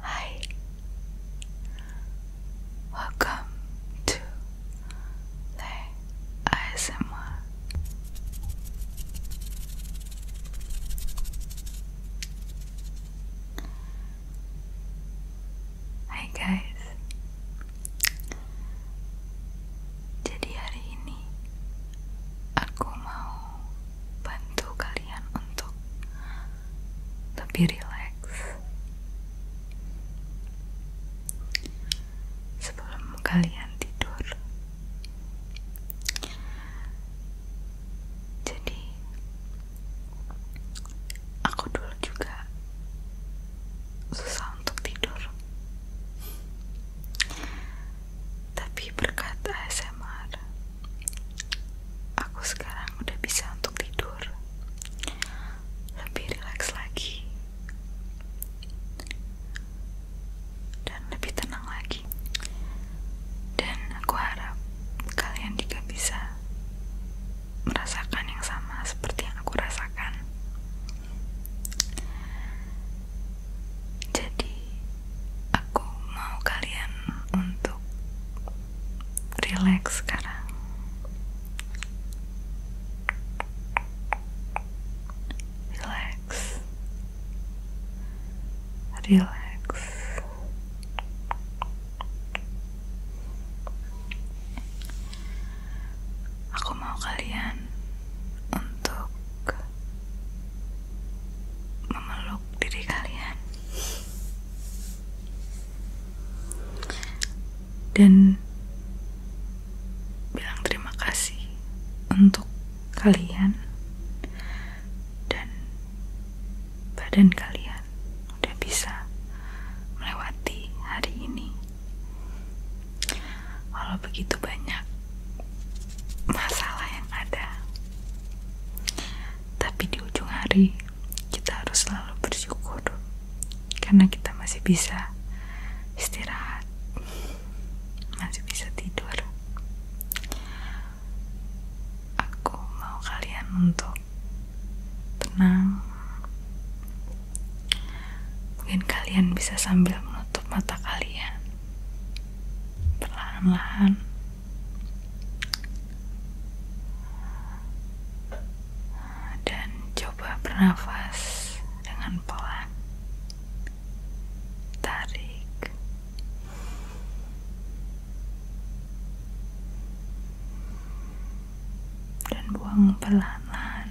Hi, welcome to the ASMR. Hai guys, jadi hari ini aku mau bantu kalian untuk lebih rileks sebelum kalian tidur. Jadi aku dulu juga susah untuk tidur. Tapi berkat ASMR aku sekarang udah bisa untuk tidur lebih relax lagi dan lebih tenang lagi dan aku harap kalian juga bisa merasakan yang sama seperti yang aku rasakan jadi aku mau kalian untuk relax sekarang relax relax aku mau kalian untuk memeluk diri kalian dan bilang terima kasih untuk kalian dan badan kalian udah bisa melewati hari ini walau begitu banyak masalah yang ada tapi di ujung hari, kita harus selalu bersyukur karena kita masih bisa istirahat, masih bisa tidur. Aku mau kalian untuk tenang. Mungkin kalian bisa sambil menutup mata kalian perlahan-lahan dan coba bernafas dengan pelan tarik dan buang pelan-pelan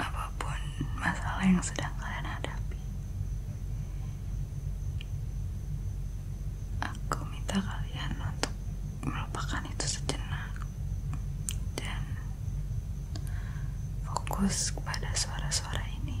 apapun masalah yang sedang kalian hadapi aku minta kalian untuk melupakan itu sejenak dan fokus kepada suara-suara ini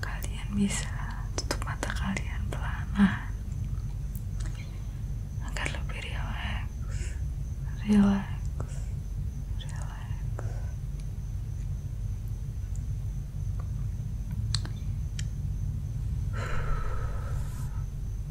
Kalian bisa tutup mata kalian pelan agar lebih rileks, rileks, rileks.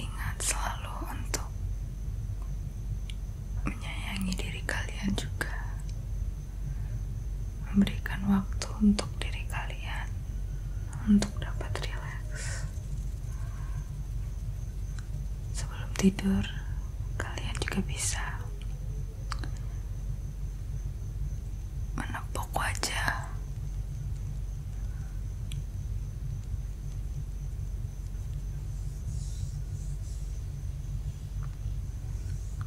Ingat selalu untuk menyayangi diri kalian juga. Memberikan waktu untuk diri kalian untuk dapat rileks. Sebelum tidur, kalian juga bisa menepuk wajah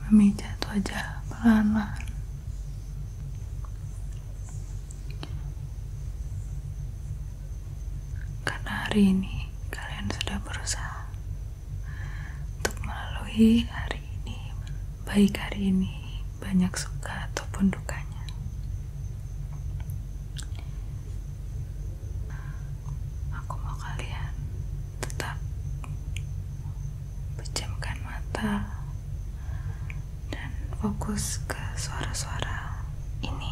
memijat wajah pelan-pelan karena hari ini kalian sudah berusaha untuk melalui hari ini baik hari ini banyak suka ataupun dukanya aku mau kalian tetap pejamkan mata dan fokus ke suara-suara ini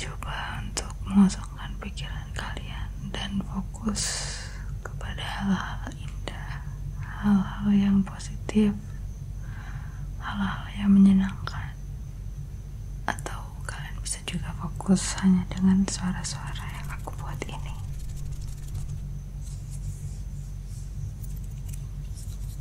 Coba untuk mengosongkan pikiran kalian dan fokus kepada hal-hal indah, hal-hal yang positif, hal-hal yang menyenangkan, atau kalian bisa juga fokus hanya dengan suara-suara yang aku buat ini.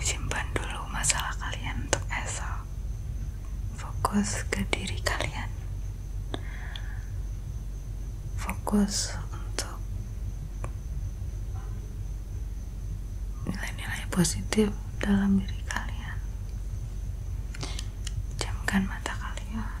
Simpan dulu masalah kalian untuk esok. Fokus ke diri kalian. Fokus untuk nilai-nilai positif dalam diri kalian. Jamkan mata kalian.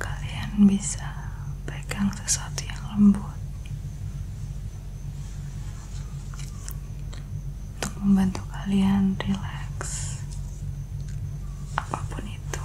Kalian bisa pegang sesuatu yang lembut untuk membantu kalian relax apapun itu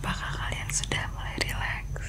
Apakah kalian sudah mulai rileks?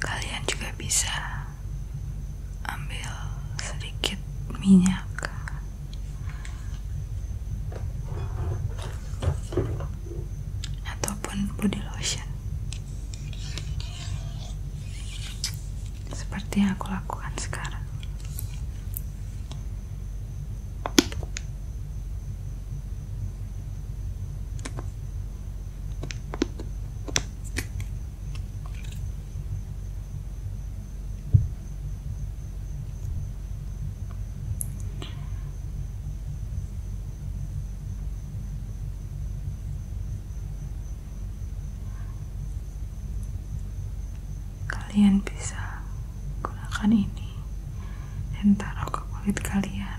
Kalian juga bisa ambil sedikit minyak. Ataupun body lotion, seperti yang aku lakukan sekarang kalian bisa gunakan ini dan taruh ke kulit kalian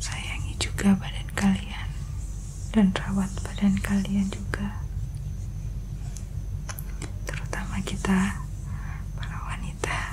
Sayangi juga badan kalian dan rawat badan kalian juga. Terutama kita para wanita.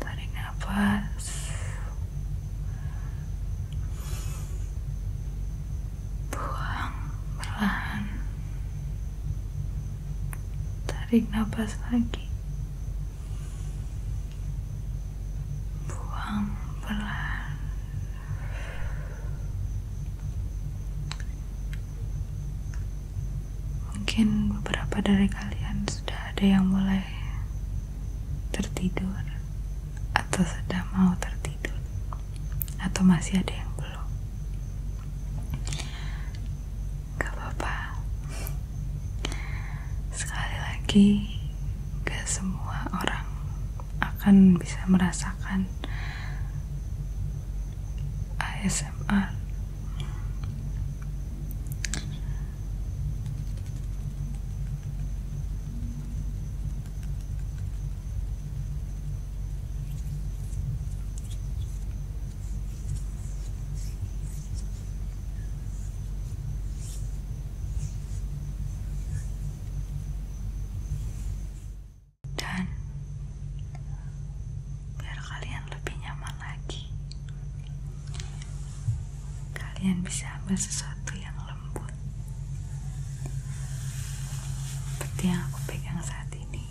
Tarik nafas. Buang perlahan. Tarik nafas lagi buang mungkin beberapa dari kalian sudah ada yang mulai tertidur atau sudah mau tertidur atau masih ada yang belum gak apa-apa Sekali lagi, gak semua orang akan bisa merasakan ASMR. Dan biar kalian lebih nyaman lagi, kalian bisa ambil sesuatu yang lembut seperti yang aku pegang saat ini.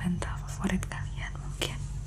Benda favorit kalian mungkin.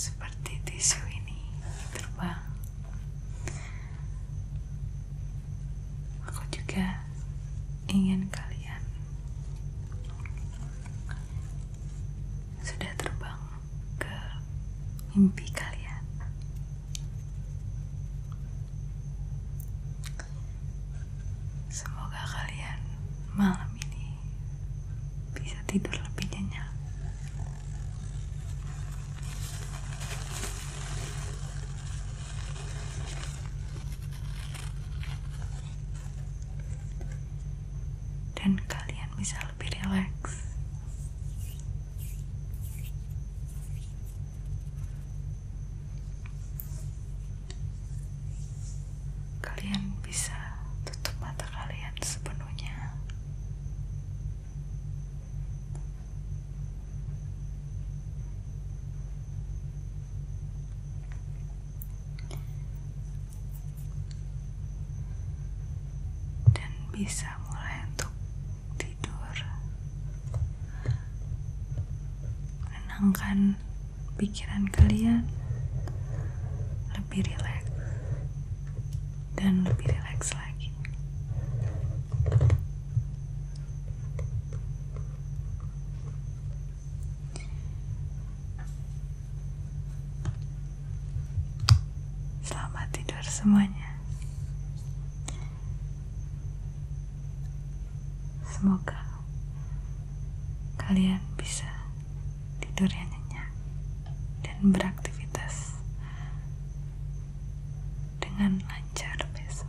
seperti tisu ini terbang aku juga ingin kalian sudah terbang ke mimpi kalian semoga kalian malam ini bisa tidur lebih nyenyak dan kalian bisa lebih rileks. Kalian bisa tutup mata kalian sepenuhnya dan bisa mulai untuk tidur menenangkan pikiran kalian lebih rileks dan lebih rileks lagi. Selamat tidur semuanya. Semoga kalian bisa tidur yang nyenyak dan beraktivitas dengan lancar besok.